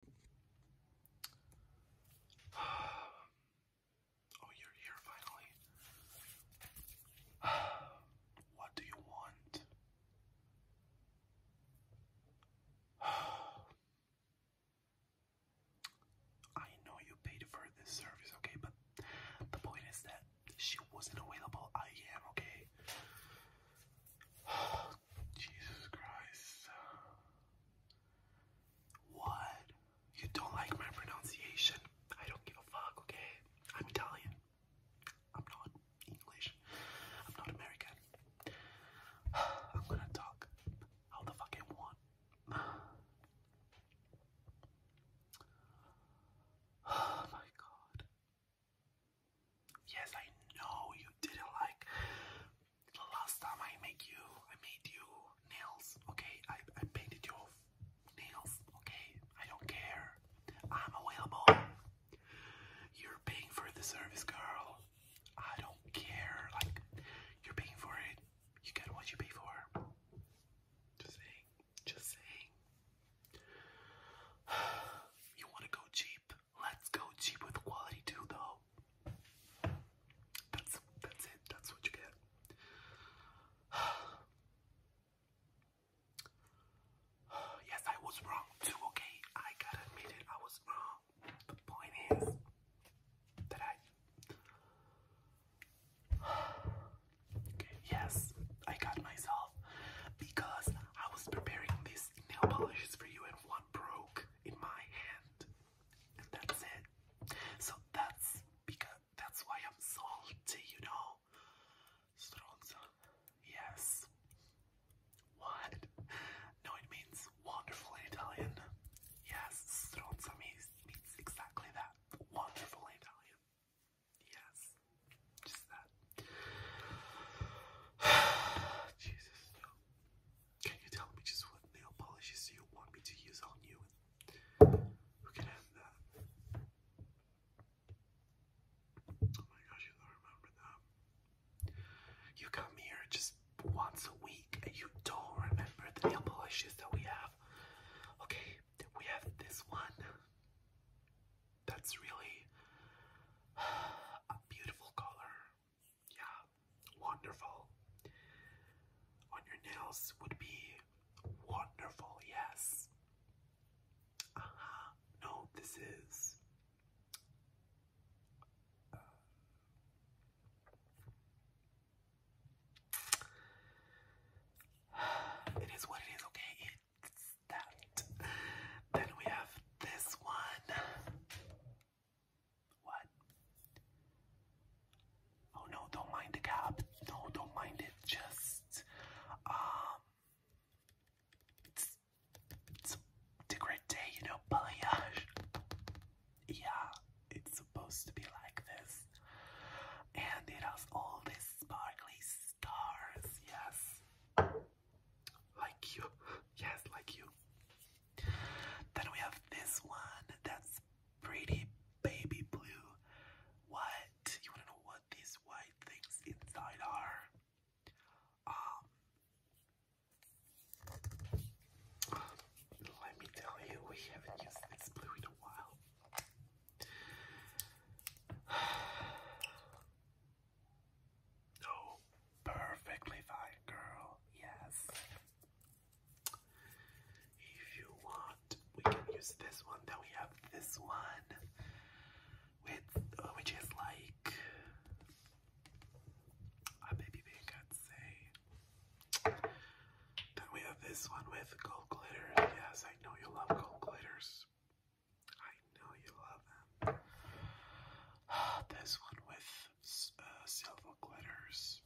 Oh, you're here finally. What do you want? I know you paid for this service, okay, but the point is that she wasn't available. I am, okay? Jesus Christ. What? You don't like my pronunciation? I don't give a fuck, okay? I'm Italian. I'm not English. I'm not American. I'm gonna talk how the fuck I want. Oh my god. Yes, I know you didn't like the last time I made you. I made you nails, okay? I, I painted your nails, okay? I don't care. I'm available. You're paying for the service, girl. I don't care. Like, you're paying for it. You get what you pay for. Just saying. Just saying. You want to go cheap? Let's go cheap with quality too, though. That's that's it. That's what you get. yes, I was wrong too. Okay, I gotta admit it. I was wrong. The point is that I. okay, yes, I got myself because I was preparing these nail polishes for you, and one one broke in my hand, and that's it. So that's because that's why I'm salty, you know. Stronza, yes. What? No, it means wonderful in Italian. Yes, stronza means exactly that. Wonderful in Italian. Yes. Just that. Jesus, Can you tell me just what nail polishes you want me to use on you? Who can have that? Oh my gosh, you don't remember that. You come here just once a week and you don't remember the nail polishes that we have. Okay, we have this one. That's really a beautiful color. Yeah, wonderful. On your nails would be wonderful, yes. Uh huh. No, this is. Uh, it is what it is, okay? Then we have this one. What? Oh no, don't mind the cap. No, don't mind it. Just um it's, a great day, you know, Yeah, it's supposed to be like this. And it has all this sparkly stars, yes. Like you, yes, like you. Then we have this one that's pretty baby blue. What? You wanna know what these white things inside are? Um, let me tell you, we haven't used this blue in a while. Oh, perfectly fine, girl. Yes. If you want, we can use this one. Then we have this one, with uh, which is like a baby pink, I'd say. Then we have this one with gold glitter. Yes, I know you love gold glitters. I know you love them. this one with uh, silver glitters.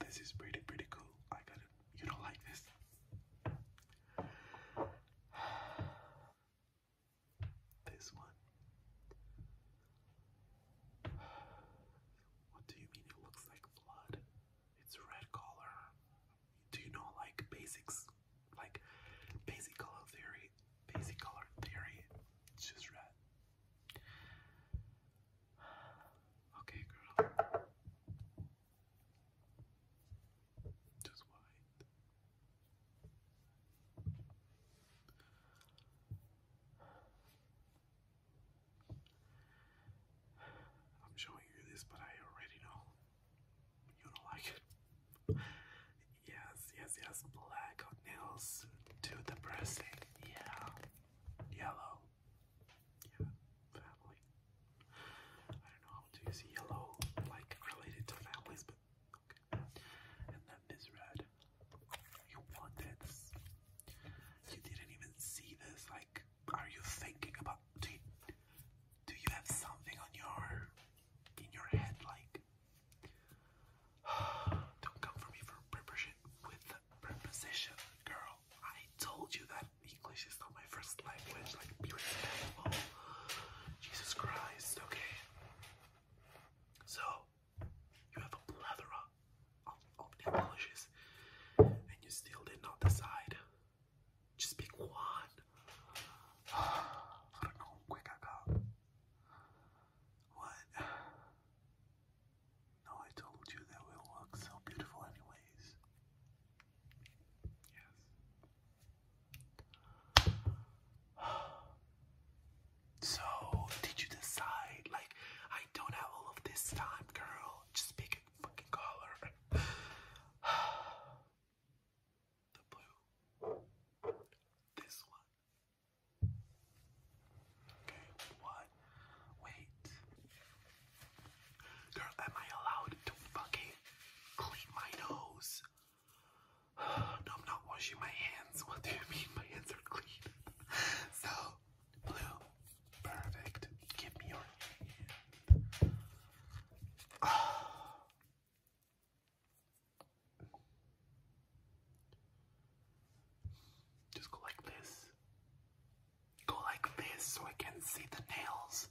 This is pretty, pretty cool. I got it. You don't like this? This one. What do you mean it looks like blood? It's a red color. Do you know like basics, like basic color theory? Basic color theory. It's just red. Okay, girl. Just white. I'm showing you this, but I already know you don't like it. Yes, yes, yes. Black nails, too depressing. Yeah, yellow. family. I don't know how to use yellow, like related to families, but okay. And then this red. You want this? You didn't even see this, like are you thinking about? Do do you have something on your in your head like? Don't come for me for preposition with preposition, girl. I told you that English is not my first language. Like, be respectful. Jesus Christ. Okay. So you have a plethora of, of their and you still did not decide. Just pick one. I don't know how quick I got. What? No, I told you that will look so beautiful anyways. Yes. So, did you decide? Like, I don't have all of this time, girl. Just pick fucking collar. the blue. This one. Okay, what? Wait. Girl, am I allowed to fucking clean my nose? no, I'm not washing my hands. What do you mean my hands are clean? so blue. Perfect. Give me your hand. Just go like this. Go like this so I can see the nails.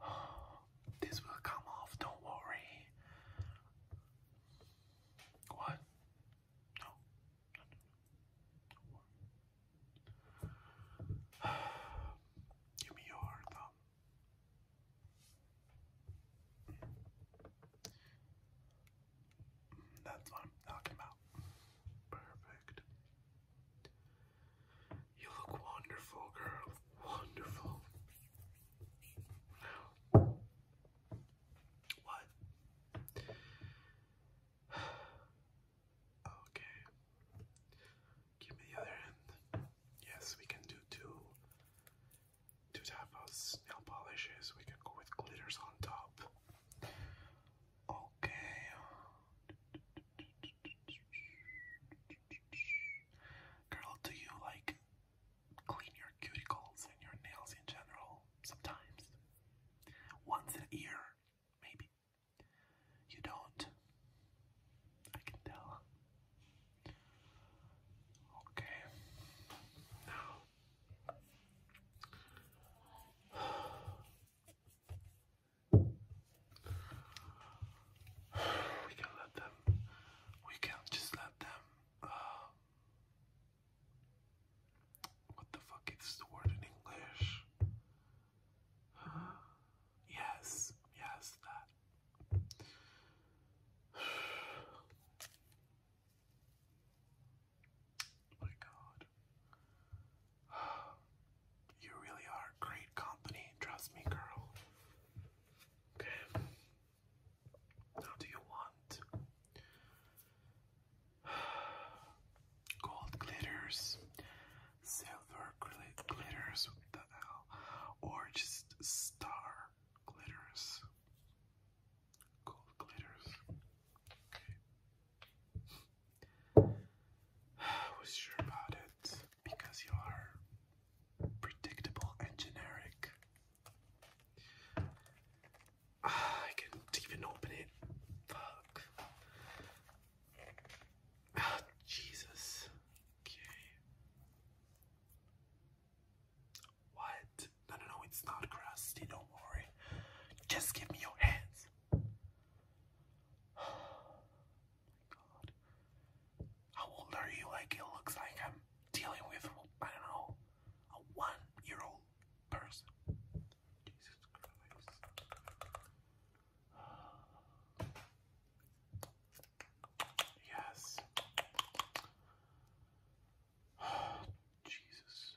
This will come off, don't worry. What? No. Give me your thumb. That's what I'm talking Perfect. You look wonderful, girl. Wonderful. what? Okay. Give me the other end. Yes, we can do two. Two tapas, nail polishes. We can go with glitters on top. Okay. Girl, do you like clean your cuticles and your nails in general sometimes? Once a year, maybe. You don't. I can tell. Okay. Now. We can let them, we can just let them, uh, what the fuck is the word in English? Yes, yes, that. My God. You really are great company, trust me, girl. Okay. Now, do you want gold glitters, silver glitters with the L, or just star glitters? gold glitters. Okay. Was sure about it because you are predictable and generic. I can't even open it. Fuck. Ah, Jesus. Okay. What? No, no, it's not crusty, don't worry. Just give me your hands. How old are you? Like, it looks like I'm dealing with, I don't know, a one year old person. Yes. Jesus.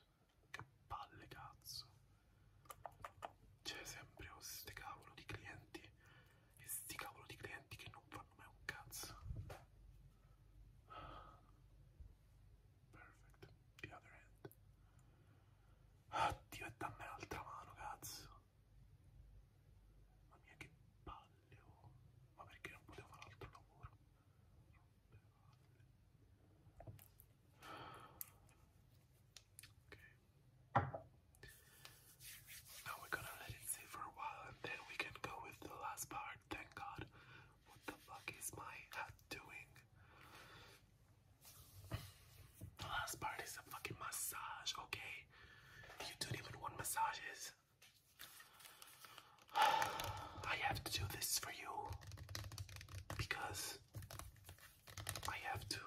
Che palle cazzo. C'è sempre oh, sti cavolo di clienti e sti cavolo di clienti che non fanno mai un cazzo. Perfect. The other end. Addio e dammi l'altra mano, cazzo. Mamma mia che palle, oh. Ma perché non potevo fare altro lavoro? Now we're gonna let it sit for a while and then we can go with the last part. Thank God. What the fuck is my hat doing? The last part is a fucking massage, okay? You don't even want massages. I have to do this for you because I have to,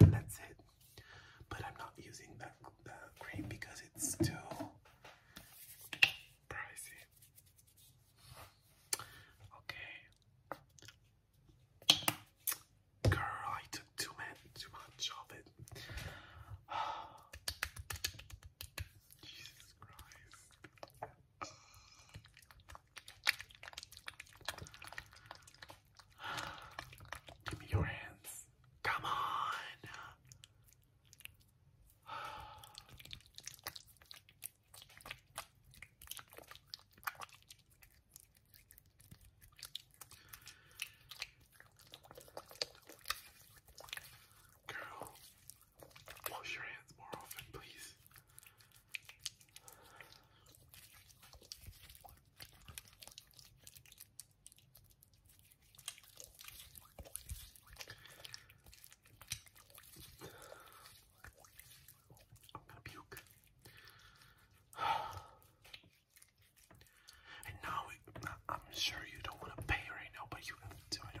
and that's it. But I'm not using that, cream because it's too pricey. Okay. Girl, I took too much of it. Jesus Christ. Give me your hands. Come on. Girl, Wash your hands more often, please. I'm gonna puke. And now, I'm sure you don't want to pay right now, but you have to. I do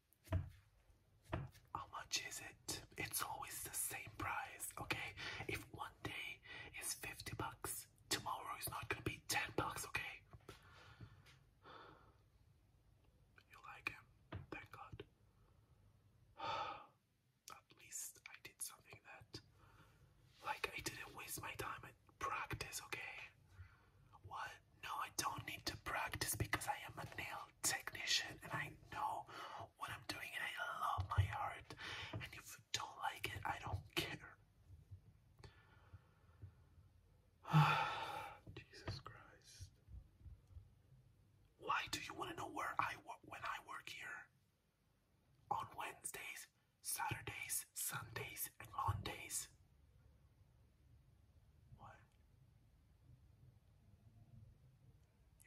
How much is it? It's always the same price, okay? If one day is 50 bucks, tomorrow is not gonna be 10 bucks, okay? You like him, thank God. At least I did something that, like, I didn't waste my time at practice, okay? What? No, I don't need to practice because I am a nail technician and I know what I'm doing and I love my art. And if you don't like it, I don't care. Jesus Christ. Why do you want to know where I work when I work here? On Wednesdays, Saturdays, Sundays, and Mondays. What?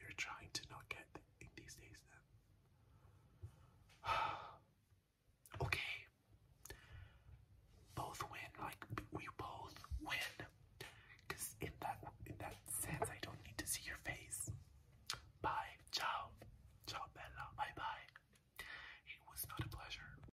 You're trying to not get these days then. okay. Both win, like we both win. Cause in that in that sense I don't need to see your face. Bye. Ciao. Ciao Bella. Bye bye. It was not a pleasure.